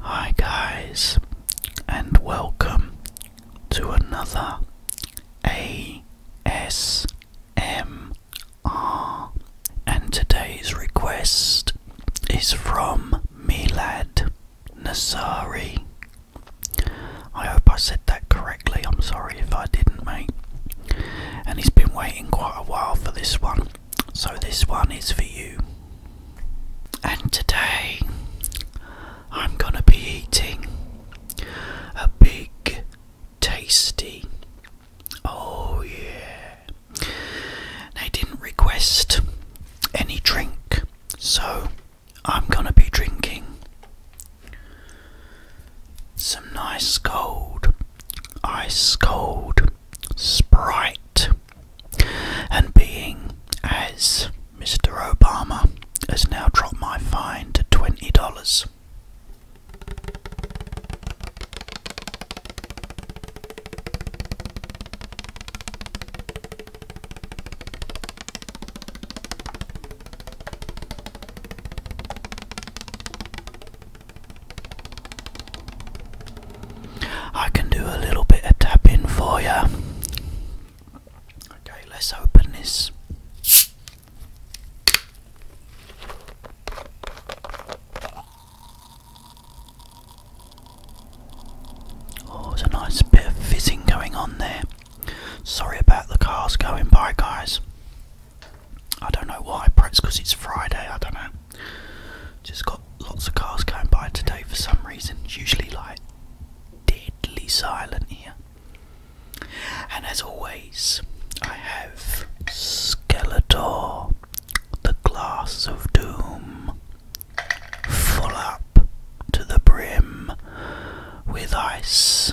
Hi, guys, and welcome to another ASMR Ah, and today's request is from Milad Nasari. I hope I said that correctly. I'm sorry if I didn't, mate. And he's been waiting quite a while for this one, so this one is for you. And today I'm gonna be eating a big, tasty Oh, yeah. They didn't request any drink, so I'm gonna be drinking some nice cold, ice cold Sprite and being as Mr. Obama has now dropped my fine to $20. I can do a little bit of tapping for you. Okay, let's open this. Oh, there's a nice bit of fizzing going on there. Sorry about the cars going by, guys. I don't know why, perhaps because it's Friday, I don't know. Just got lots of cars going by today for some reason. usually like deadly silent here. And as always, I have Skeletor, the Glass of Doom, full up to the brim with ice.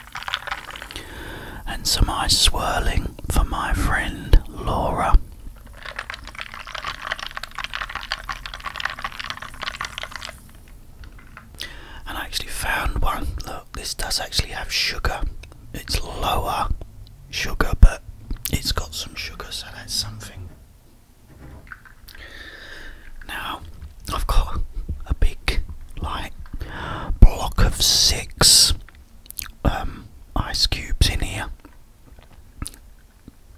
and some ice swirling for my friend Laura. And I actually found one. Look, this does actually have sugar. It's lower sugar, but it's got some sugar, so that's something. Now, I've got a big, like, block of six um, ice cubes in here,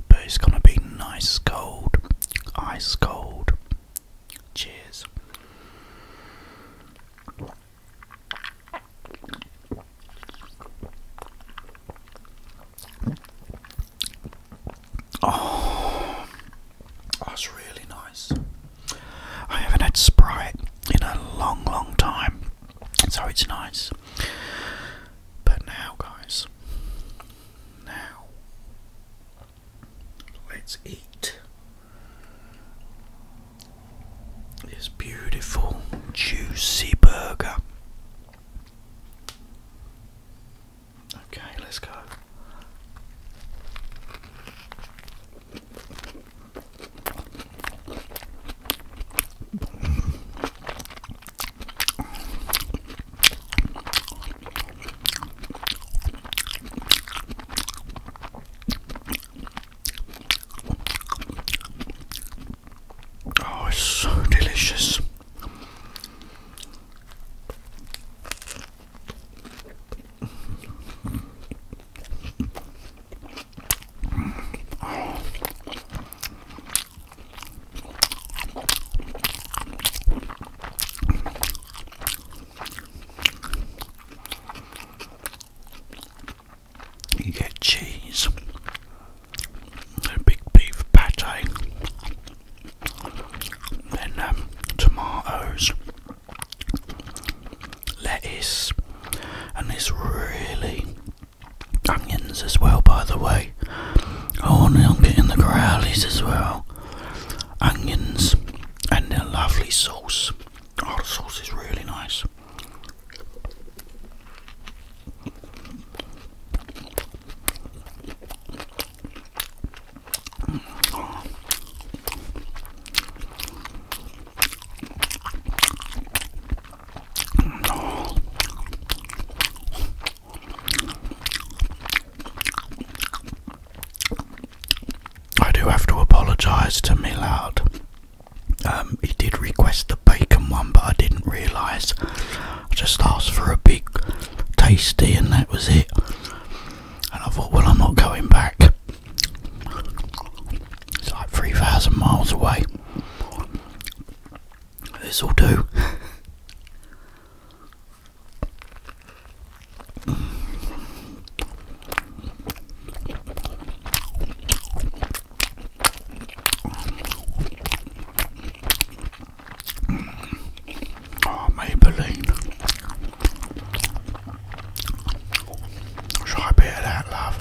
but it's gonna be nice cold, ice cold. Cheers. Oh, that's oh, really nice. I haven't had Sprite in a long, long time, so it's nice. But now, guys, now let's eat this beautiful, juicy burger. Okay, let's go. Oh, it's so delicious. You get cheese, a big beef pate, then um, tomatoes, lettuce, and it's really onions as well. By the way, oh, and I'm getting the growlies as well. Onions and a lovely sauce. Oh, the sauce is really nice. I do have to apologise to Millard. Um, he did request the bacon one, but I didn't realise. I just asked for a big tasty, and that was it. And I thought, well, I'm not going back. It's like 3,000 miles away. This will do. Oh, Maybelline. Try a bit of that, love.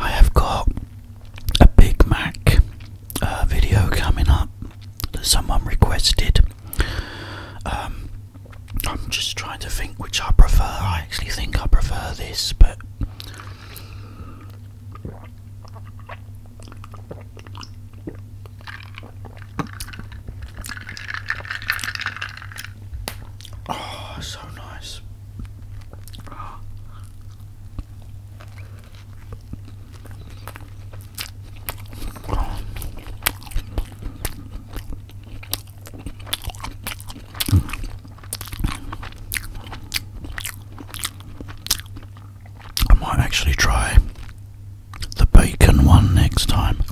I have got a Big Mac uh, video coming up that someone requested. Um, I'm just trying to think which I prefer. I actually think I prefer this, but. Oh, so nice. I might actually try the bacon one next time.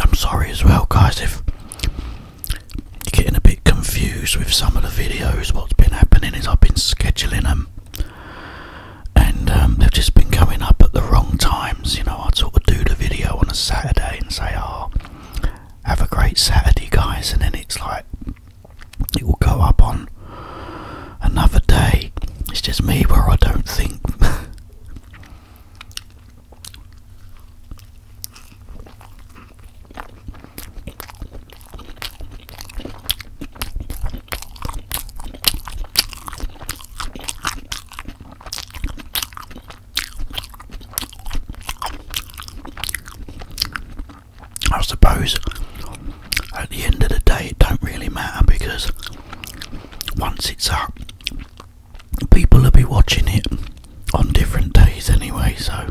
I'm sorry as well, guys, if you're getting a bit confused with some of the videos. What's been happening is I've been scheduling them, and um, they've just been coming up at the wrong times, you know. I'd sort of do the video on a Saturday and say, oh, have a great Saturday, guys, and then it's like, it will go up on another day. It's just me where I don't think. I suppose at the end of the day it don't really matter because once it's up people will be watching it on different days anyway so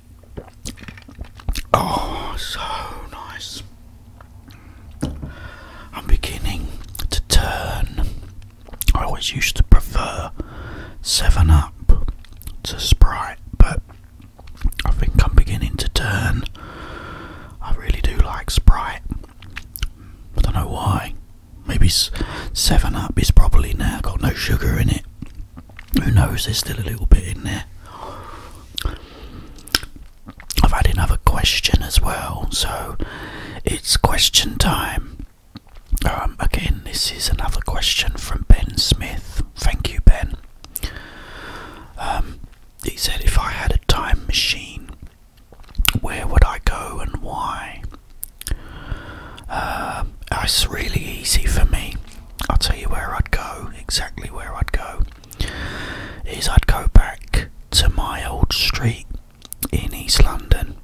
Oh, so nice. I'm beginning to turn. I always used to prefer 7 Up to Sprite, but I think I'm beginning to turn. I really do like Sprite. I don't know why. Maybe 7 Up is probably now got no sugar in it. Who knows? There's still a little bit in there. I've had another question as well, so it's question time. Um, again, this is another question from Ben Smith. Thank you, Ben. Um, he said, If I had a time machine, where would I go and why? Uh, it's really easy for me. I'll tell you where I'd go, exactly where I'd go. Is I'd go back to my old street in East London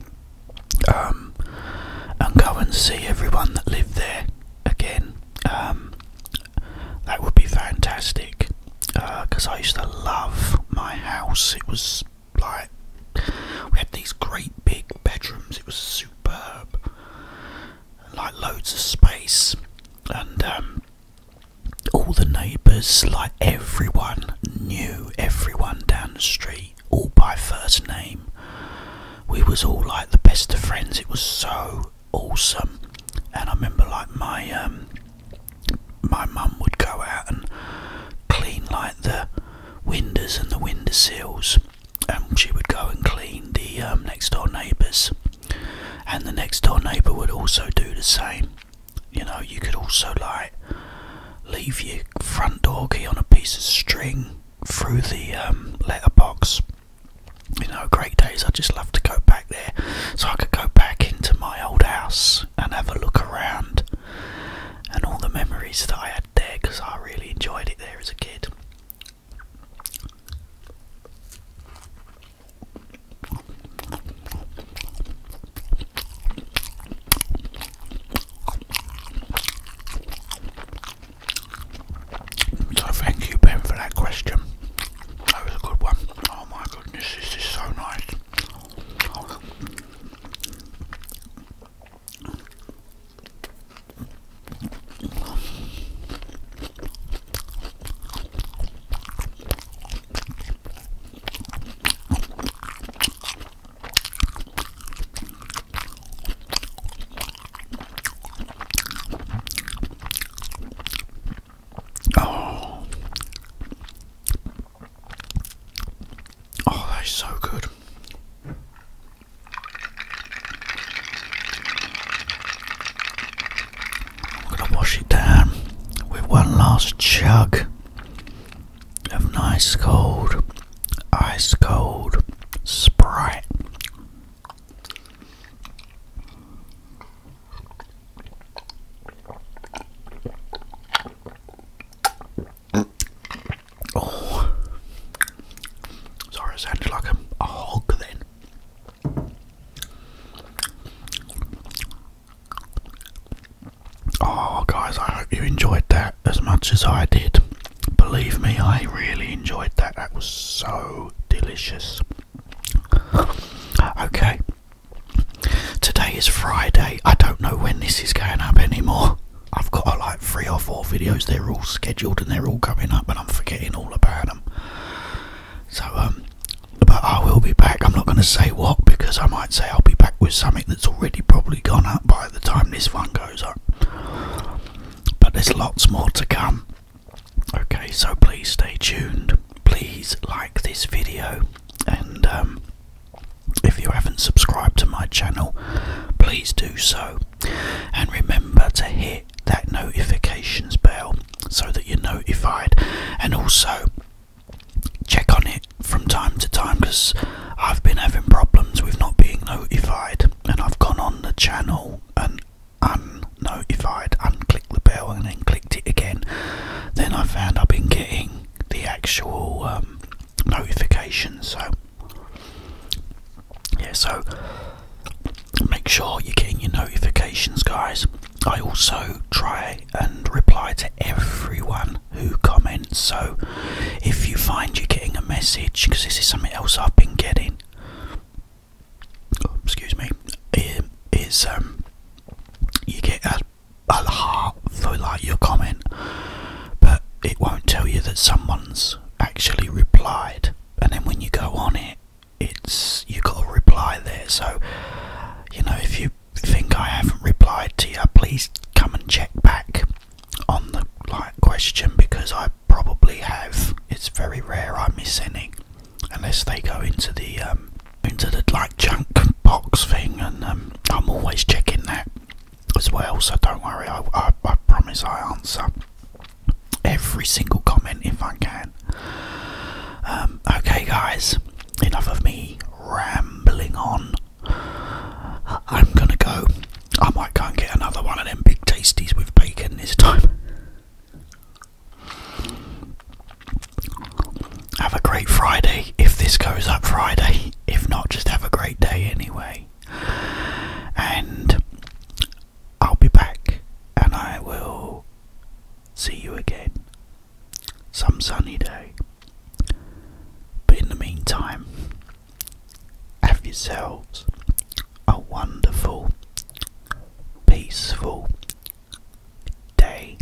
um, and go and see everyone that lived there again. Um, that would be fantastic because uh, I used to love my house. It was like we had these great big bedrooms, it was super superb, like loads of space, and um, all the neighbours, like everyone knew everyone down the street, all by first name. We was all like the best of friends. It was so awesome, and I remember like my um, my mum would go out and clean like the windows and the window sills. And um, she would go and clean the um, next door neighbours, and the next door neighbour would also do the same. You know, you could also like leave your front door key on a piece of string through the um, letterbox. You know, great days. I just love to go back there, so I could go back into my old house and have a look around and all the memories that I had there because I really enjoyed it there as a kid. So thank you Ben for that question. That was a good one. Oh my goodness, this is so nice. Oh, oh, that is so good. I'm gonna wash it down with one last chug of nice cold, ice cold Sprite. Oh, sorry, sounded like a, a hog then. Oh, guys, I hope you enjoyed that as much as I did. Believe me, I really enjoyed that. That was so delicious. okay, today is Friday. I don't know when this is going up anymore. I've got like three or four videos, they're all scheduled and they're all coming up, and I'm forgetting all about them. So, um, but I will be back. I'm not going to say what because I might say I'll be back with something that's already probably gone up by the time this one goes up. But there's lots more to come. Okay, so please stay tuned. Please like this video, and um, if you haven't subscribed to my channel, please do so. And remember to hit that notifications bell so that you're notified. And also check on it from time to time because I've been having problems with not being notified. And I've gone on the channel and un-notified, unnotified, clicked the bell and then clicked it again. Then I found I've been getting the actual. Um, notifications. So, yeah, so make sure you're getting your notifications, guys. I also try and reply to everyone who comments. So, if you find you're getting a message, because this is something else I've been getting, excuse me, um, is um, you get a, a heart for like your comment, but it won't tell you that someone's actually replied, and then when you go on it, it's you got a reply there. So, you know, if you think I haven't replied to you, please come and check back on the like question because I probably have. It's very rare I miss any, unless they go into the um, into the like junk box thing, and um, I'm always checking that as well. So don't worry, I, I, I promise I answer every single comment if I can. Um, okay, guys, enough of me rambling on. I'm gonna go. I might go and get another one of them big tasties with bacon this time. Have a great Friday if this goes up Friday. If not, just have a great day anyway and I'll be back and I will see you again some sunny day. But in the meantime, have yourselves a wonderful, peaceful day.